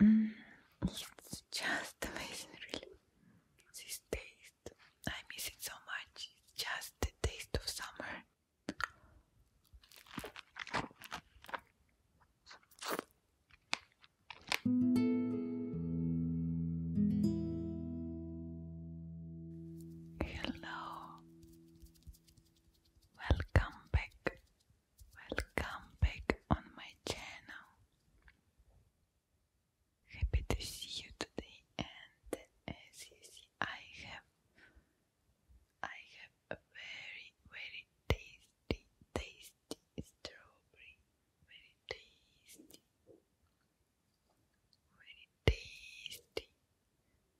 it's mm. just amazing, really. This taste, I miss it so much. It's just the taste of summer. Hello, welcome back Welcome back on my channel. Happy to see you today and as you see I have I have a very very tasty tasty strawberry very tasty very tasty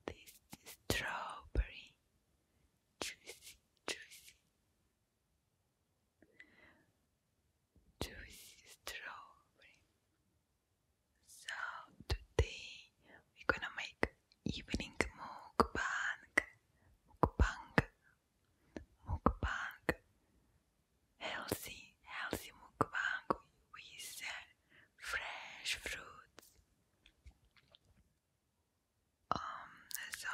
tasty strawberry juicy juicy juicy strawberry. So today we're gonna make evening mukbang, mukbang, mukbang, healthy, healthy mukbang with fresh fruits. Um, so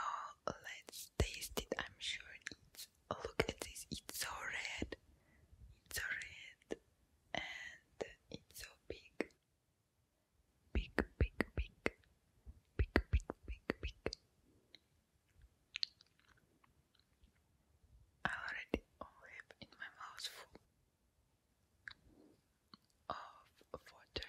let's taste it. I'm sure it's. Look at this. It's so red. It's so red, and it's so big. Big, big, big, big, big, big, I already have in my mouth full of water.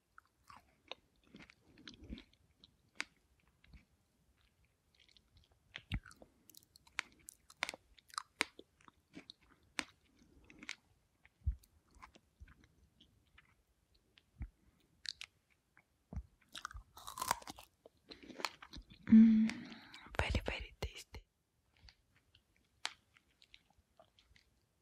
Mm, very, very tasty.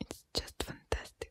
It's just fantastic.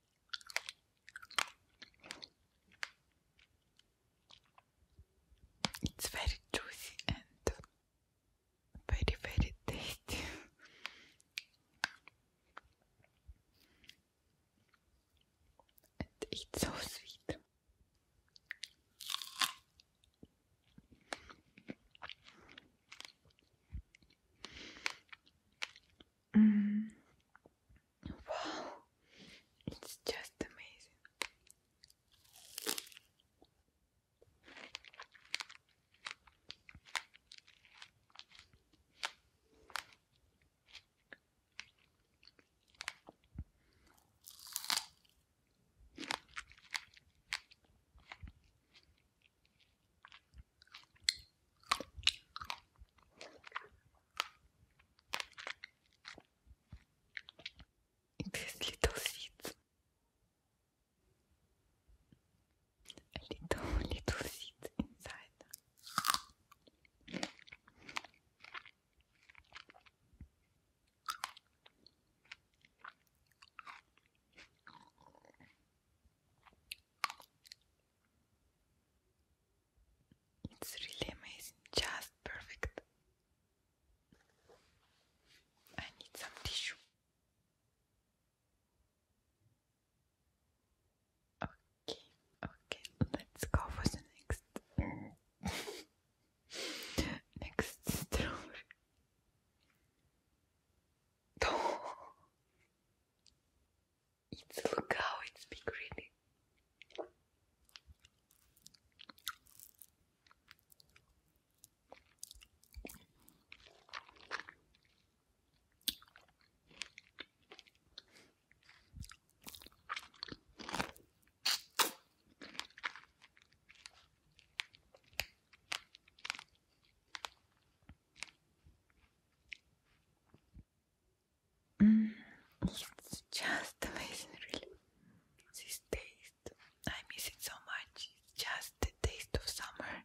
It's very juicy and very, very tasty. and it's so sweet. Mm. Wow, it's just amazing. These little seeds. little, little seeds inside. It's really amazing, just perfect. I need some tissue. Okay, okay, let's go for the next. next strawberry. It's look how it's big really. Mm. it's just amazing, really. This taste, I miss it so much. It's just the taste of summer.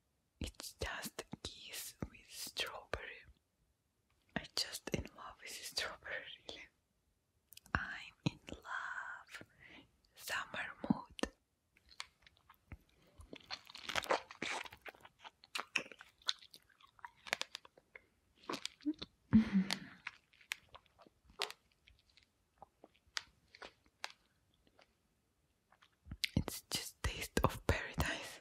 it's just a with strawberry. I just in love with strawberry, I'm in love. Summer mood. it's just taste of paradise.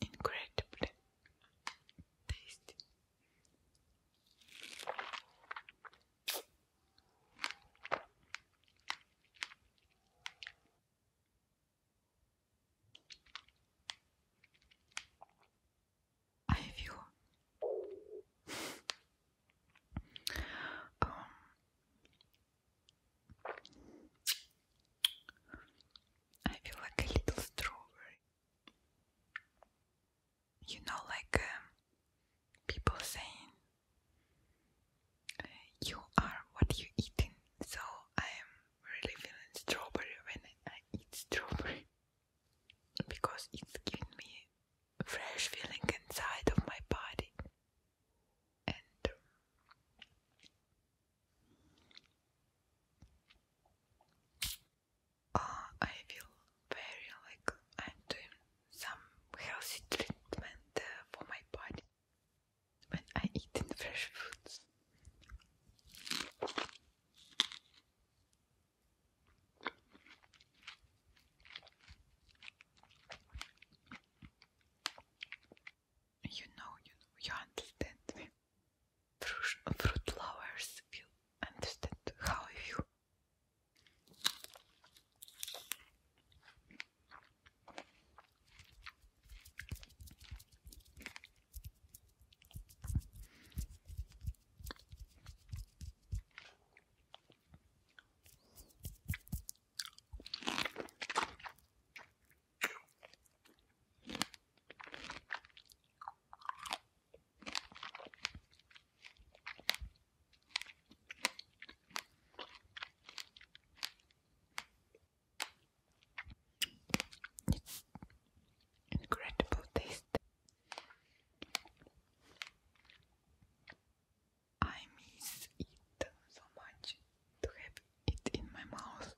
Incredible tasty. I feel um, I feel like a little strawberry you know, like um, people saying, You are what you eating. So I am really feeling strawberry when I eat strawberry because it's giving me fresh feeling inside of my body. Um, uh, I feel very like I'm some healthy treatment uh, for my body when I eat fresh foods. You know, you know, you understand me fruit flowers. You understand how I feel. Incredible taste. I miss it so much to have it in my mouth.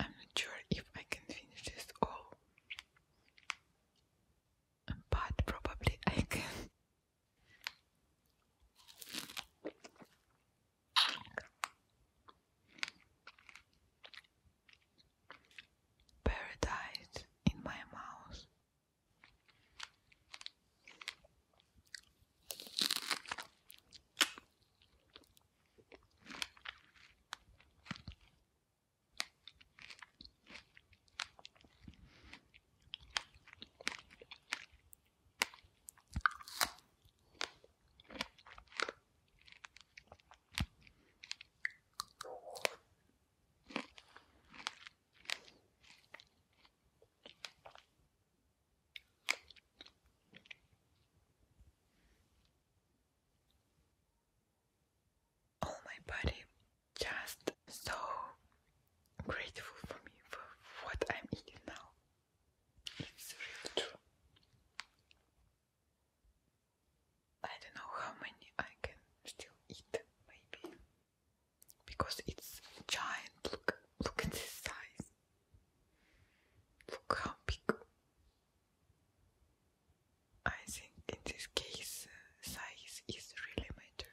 I'm not sure if I can finish this all, but probably I can. Paradise in my mouth. All oh, my body just so grateful for me for what I'm eating now. It's really true. I don't know how many I can still eat, maybe. Because it's giant. Look, look at this size. Look how big. I think in this case, uh, size is really matter.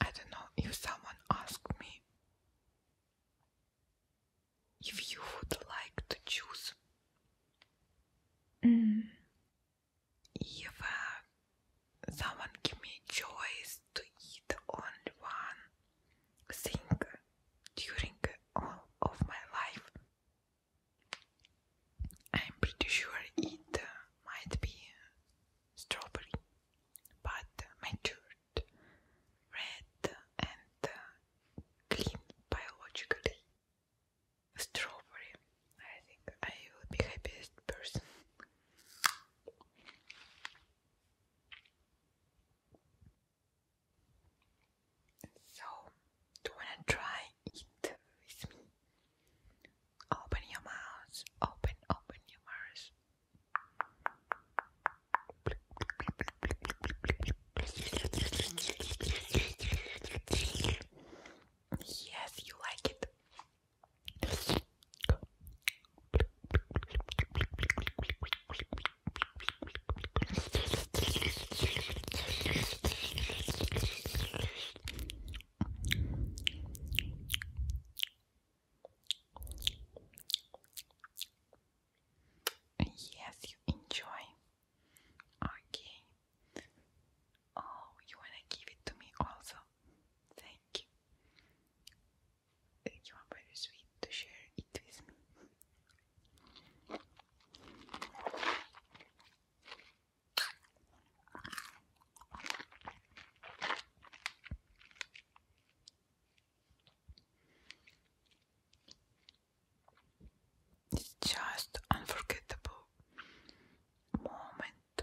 I don't know if someone asked me if you would like to choose if mm. Someone give me a choice to eat only one thing during all of my life. I'm pretty sure it might be strawberry, but matured, red, and clean biologically. Strawberry. I think I will be happiest person. So, do you wanna try it with me? Open your mouth, open, open your mouth. Yes, you like it. Yes, you enjoy. Okay. Oh, you wanna give it to me also? Thank you. you are very sweet to share it with me. It's just unforgettable moment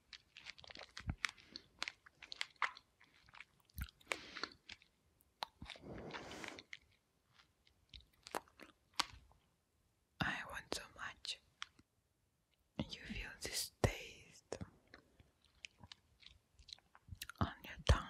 I want so much. You feel this taste on your tongue.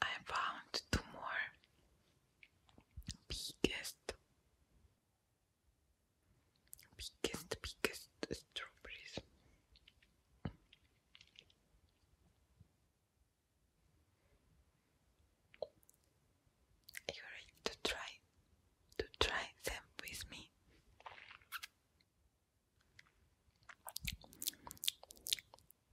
I found two more biggest biggest biggest strawberries you ready to try to try them with me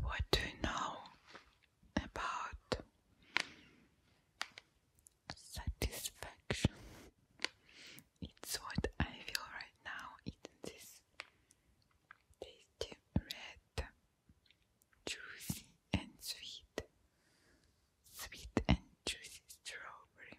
What do you know about satisfaction? It's what I feel right now eating this tasty red, juicy and sweet, sweet and juicy strawberry.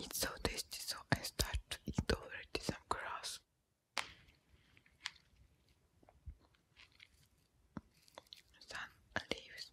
It's so tasty, so I start eating over already some grass. Sun leaves.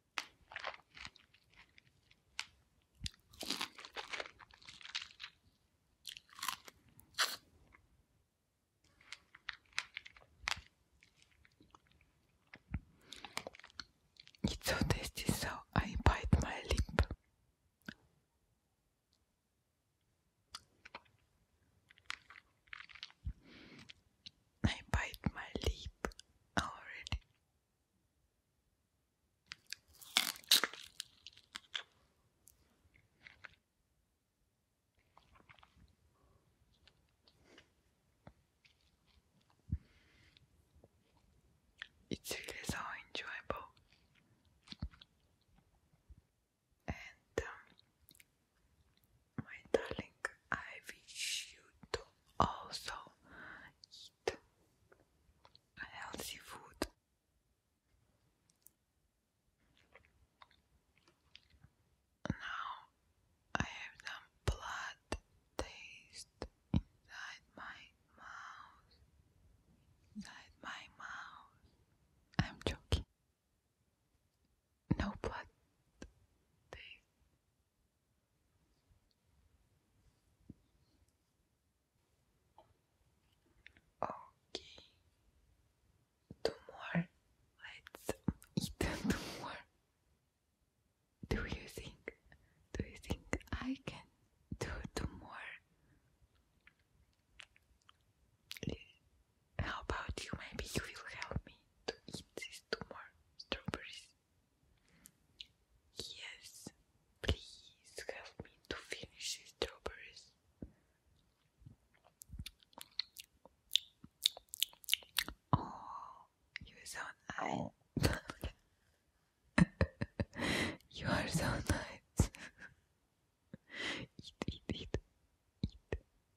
It's so tasty, so I bite my lip. I bite my lip already. It's really so enjoyable, and um, my darling, I wish you to also eat healthy food. Now I have some blood taste inside my mouth. Inside my mouth. I'm joking. No blood taste Okay. Two more. Let's eat two more. Do you think? Do you think I can do two more? How about you? Maybe you will help me to eat this two more strawberries? Yes, please help me to finish strawberries. Oh, you sound nice. you are so nice. eat, eat, eat, eat,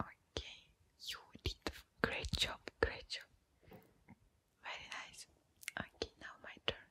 Okay, you did great job, great job. Very nice. Okay, now my turn.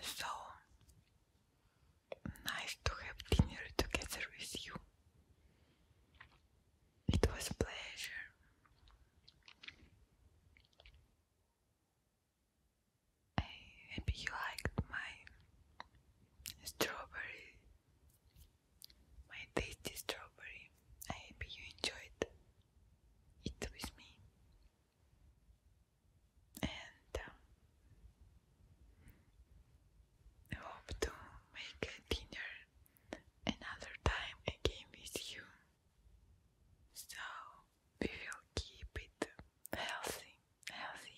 So nice to have dinner together with you. It was a pleasure. I hope you liked my strawberry, my tasty strawberry. I hope you enjoyed it with me and um, hope to make a dinner another time again with you. So we will keep it healthy, healthy,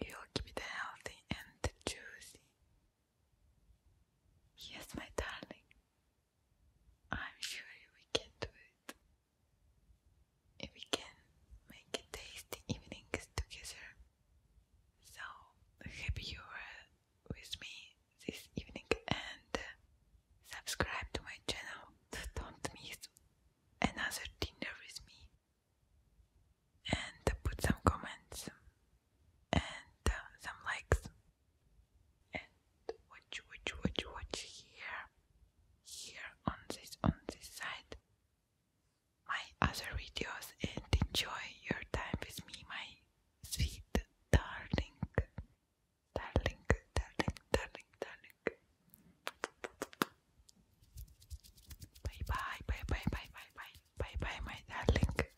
We will keep it healthy and juicy Yes, my darling. I'm sure we can do it. we can make tasty evening together. So happy you were with me this evening and subscribe to my channel. Don't miss another dinner with me. And put some comments and some likes and watch watch watch watch here here on this on this side my other videos and enjoy your time with me my sweet darling darling darling darling darling bye bye bye bye bye bye bye bye bye my darling